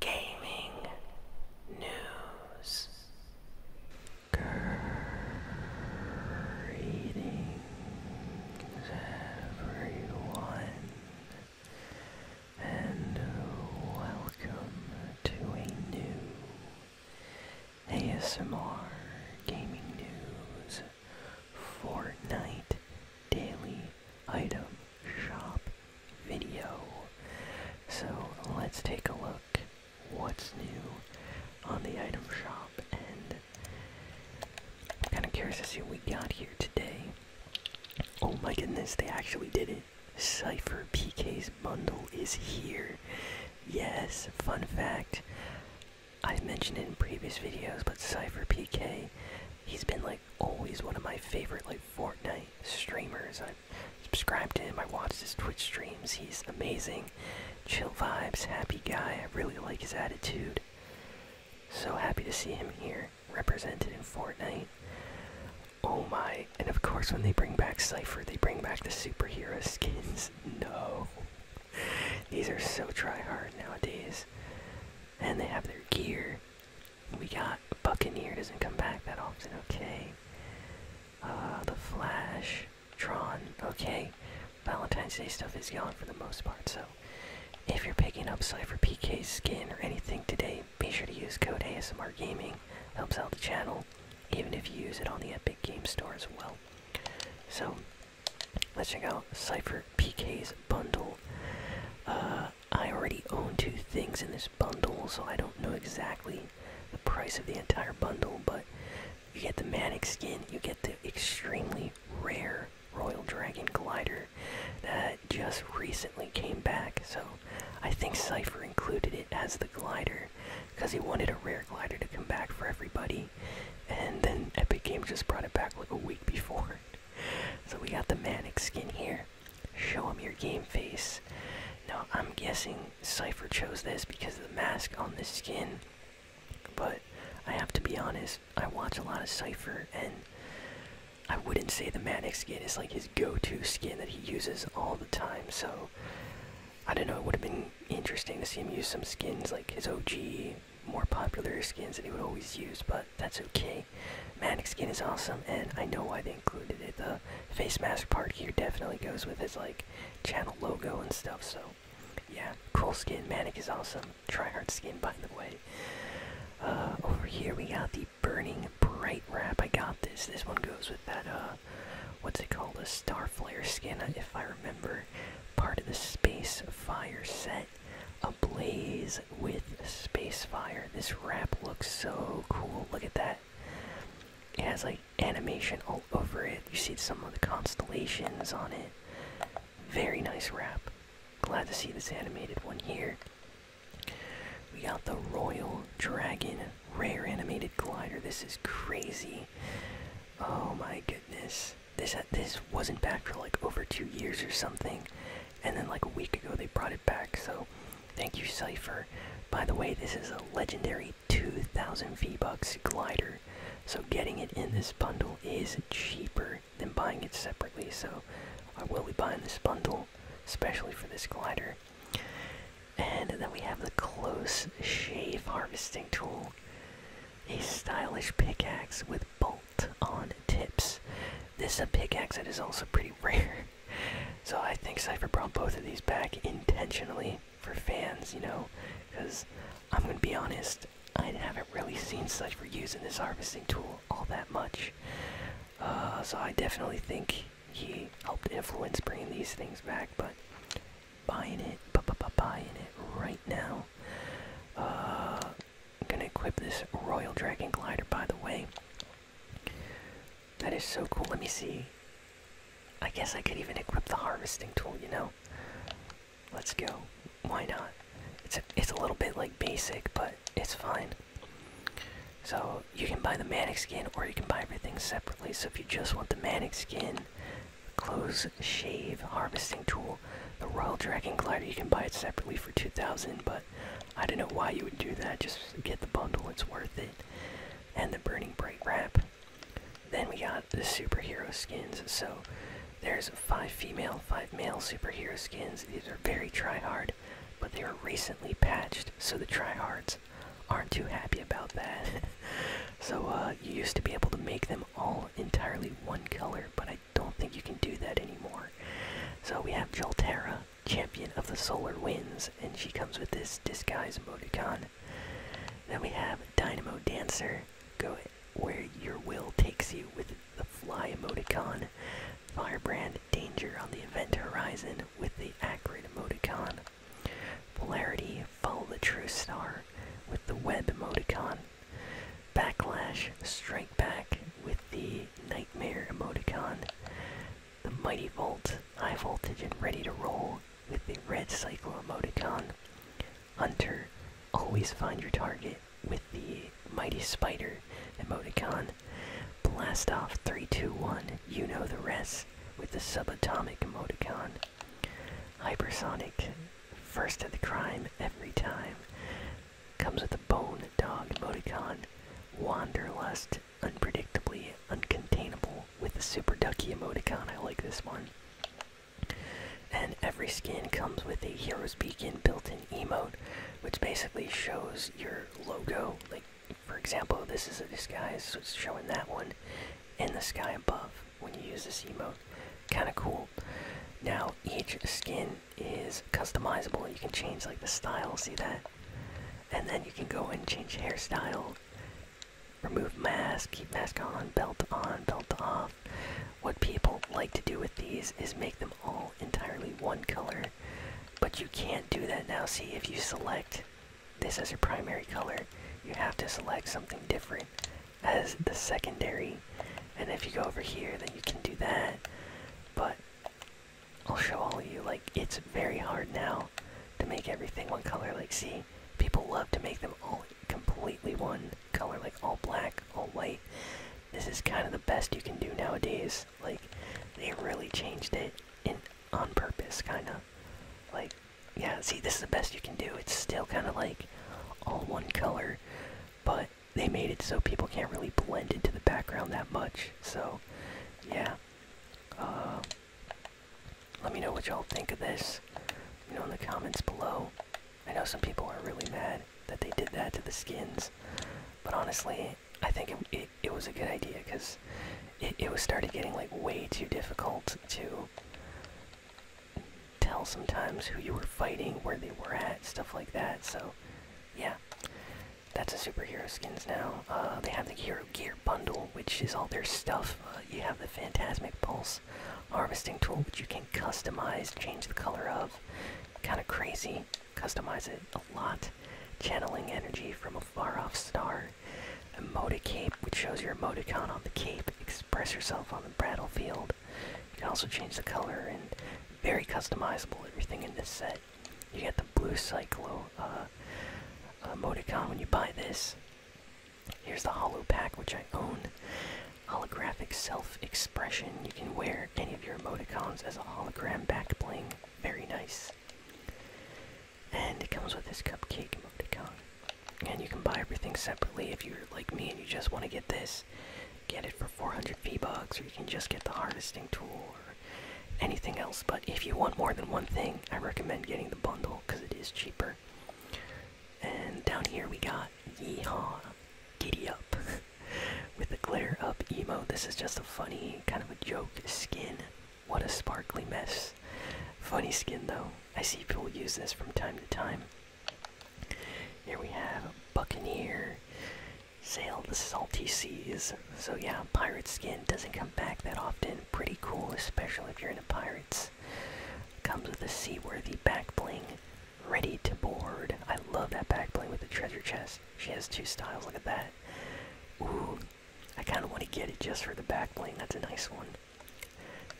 gaming news. Greetings, everyone, and welcome to a new ASMR Gaming News Fortnite Daily Item shop video. So let's take a look what's new on the item shop and I'm kind of curious to see what we got here today. Oh my goodness, they actually did it. Cypher PK's bundle is here. Yes, fun fact. I've mentioned it in previous videos, but Cypher PK, he's been like always one of my favorite like Fortnite streamers. I subscribed to him. I watched his Twitch streams. He's amazing. Chill vibes, happy guy. I really like his attitude. So happy to see him here, represented in Fortnite. Oh my, and of course when they bring back Cypher, they bring back the superhero skins. No. These are so try hard nowadays. And they have their gear. We got Buccaneer doesn't come back that often. Okay. Uh, the Flash, Tron. Okay. Valentine's Day stuff is gone for the most part. So, if you're picking up Cypher PK's skin or anything today, be sure to use code ASMR Gaming. Helps out the channel, even if you use it on the Epic Game Store as well. So, let's check out Cypher PK's bundle. Uh, I already own two things in this bundle, so I don't know exactly the price of the entire bundle, but you get the Manic skin, you get the extremely rare Royal Dragon glider that just recently came back, so I think Cypher included it as the glider because he wanted a rare glider to come back for everybody, and then Epic Games just brought it back like a week before so we got the manic skin here. Show him your game face. Now I'm guessing Cypher chose this because of the mask on this skin. But I have to be honest, I watch a lot of Cypher and I wouldn't say the Manic skin is like his go-to skin that he uses all the time, so I don't know, it would have been interesting to see him use some skins like his OG more popular skins that he would always use, but that's okay. Manic skin is awesome, and I know why they included it. The face mask part here definitely goes with his like channel logo and stuff. So, yeah, cool skin. Manic is awesome. Tryhard skin, by the way. Uh, over here we got the burning bright wrap. I got this. This one goes with that uh, what's it called? A star flare skin, if I remember. Part of the space fire set. Ablaze with space fire, This wrap looks so cool. Look at that. It has like animation all over it. You see some of the constellations on it. Very nice wrap. Glad to see this animated one here. We got the Royal Dragon Rare Animated Glider. This is crazy. Oh my goodness. This uh, this wasn't back for like over two years or something, and then like a week ago they brought it back. So, thank you, Cipher. By the way, this is a legendary 2,000 V Bucks glider, so getting it in this bundle is cheaper than buying it separately. So, I will be buying this bundle, especially for this glider. And then we have the close shave harvesting tool, a stylish pickaxe with bolt on tips. This is a pickaxe that is also pretty rare. So I think Cypher brought both of these back intentionally for fans, you know, because I'm going to be honest, I haven't really seen Cypher using this harvesting tool all that much. Uh, so I definitely think he helped influence bringing these things back, but buying it, b -b -b buying it right now I'm uh, gonna equip this Royal Dragon Glider, by the way. That is so cool. Let me see. I guess I could even equip the harvesting tool, you know? Let's go. Why not? It's a, it's a little bit like basic, but it's fine. So you can buy the manic skin or you can buy everything separately. So if you just want the manic skin, close shave harvesting tool. The Royal Dragon Glider, you can buy it separately for 2000 but I don't know why you would do that. Just get the bundle, it's worth it. And the Burning Bright Wrap. Then we got the superhero skins. So there's five female, five male superhero skins. These are very try-hard, but they were recently patched, so the try-hards aren't too happy about that. so uh, you used to be able to make them all entirely one color, but I don't think you can do that anymore. So we have Jolterra, champion of the solar winds, and she comes with this disguise emoticon. Then we have Dynamo Dancer, go where your will takes you with the fly emoticon. Firebrand danger on the event horizon with the acrid emoticon. Polarity follow the true star with the web emoticon. Backlash, strike back with the nightmare emoticon. The mighty volt, high voltage and ready to roll with the red cycle emoticon. Hunter, always find your target with the mighty spider emoticon. Blast off 321, you know the rest with the subatomic emoticon. Hypersonic, first to the crime every time. Comes with a bone dog emoticon. Wanderlust, unpredictably uncontainable with a super ducky emoticon. I like this one. And every skin comes with a hero's beacon built-in emote, which basically shows your logo. Like, for example, this is a disguise, so it's showing that one in the sky above when you use this emote. Kind of cool. Now, each skin is customizable. You can change like the style, see that? And then you can go and change hairstyle, remove mask, keep mask on, belt on, belt off. What people like to do with these is make them all entirely one color, but you can't do that now. See, if you select this as your primary color, you have to select something different as the secondary. And if you go over here, then you can do that. But I'll show all of you, like, it's very hard now to make everything one color. Like, see, people love to make them all completely one color, like all black, all white. This is kind of the best you can do nowadays. Like, they really changed it in, on purpose, kind of. Like, yeah, see, this is the best you can do. It's still kind of like all one color, but they made it so people can't really blend into the background that much. So, yeah. Uh, let me know what y'all think of this. You know, in the comments below. I know some people are really mad that they did that to the skins, but honestly, I think it, it was a good idea because it, it was started getting like way too difficult to tell sometimes who you were fighting, where they were at, stuff like that. So, yeah, that's a superhero skins now. Uh, they have the hero gear bundle, which is all their stuff. Uh, you have the Phantasmic Pulse harvesting tool, which you can customize, change the color of. Kind of crazy. Customize it a lot. Channeling energy from a far off star. Emote cape, which shows your emoticon on the cape, express yourself on the battlefield. You can also change the color and very customizable everything in this set. You get the blue cyclo uh, emoticon when you buy this. Here's the hollow pack, which I own. Holographic self expression. You can wear any of your emoticons as a hologram back bling. Very nice and it comes with this cupcake emoticon. And you can buy everything separately if you're like me and you just want to get this. Get it for 400 V-Bucks, or you can just get the harvesting tool, or anything else. But if you want more than one thing, I recommend getting the bundle because it is cheaper. And down here we got Yeehaw Giddy Up with the glitter up emo. This is just a funny kind of a joke skin what a sparkly mess. Funny skin though. I see people use this from time to time. Here we have a Buccaneer. Sail the salty seas. So yeah, pirate skin doesn't come back that often. Pretty cool, especially if you're into pirates. Comes with a seaworthy back bling. Ready to board. I love that back bling with the treasure chest. She has two styles, look at that. Ooh, I kind of want to get it just for the back plane. That's a nice one.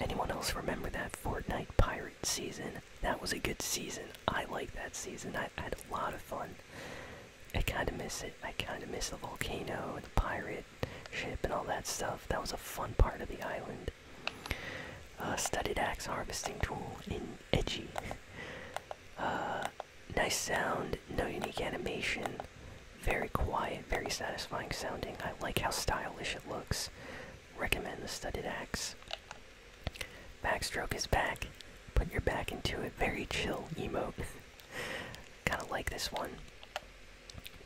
Anyone else remember that Fortnite Pirate season? That was a good season. I like that season. I, had a lot of fun. I kind of miss it. I kind of miss the volcano and the pirate ship and all that stuff. That was a fun part of the island. Uh, studded axe harvesting tool in Edgy. Uh, Nice sound, no unique animation. Very quiet, very satisfying sounding. I like how stylish it looks. Recommend the studded axe. Backstroke is back. Put your back into it. Very chill emote. Kinda like this one.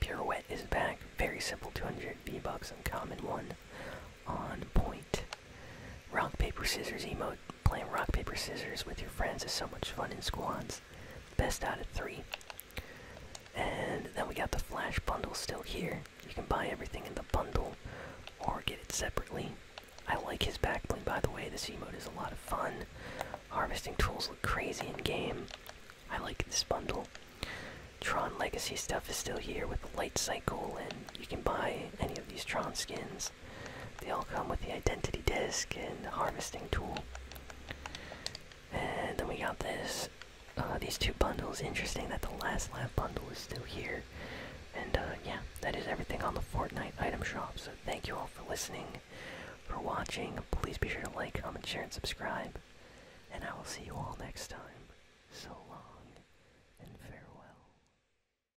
Pirouette is back. Very simple 200 V-Bucks, uncommon one. On point. Rock, paper, scissors emote. Playing rock, paper, scissors with your friends is so much fun in squads. Best out of three. And then we got the Flash Bundle still here. You can buy everything in the bundle or get it separately. I like his backbling, by the way. The This mode is a lot of fun. Harvesting tools look crazy in game. I like this bundle. Tron Legacy stuff is still here with the light cycle, and you can buy any of these Tron skins. They all come with the identity disc and the harvesting tool. And then we got this. Uh, these two bundles. Interesting that the last lab bundle is still here. And uh, yeah, that is everything on the Fortnite item shop. So thank you all for listening, for watching. Please be sure to like, comment, share, and subscribe. And I will see you all next time. So long and farewell.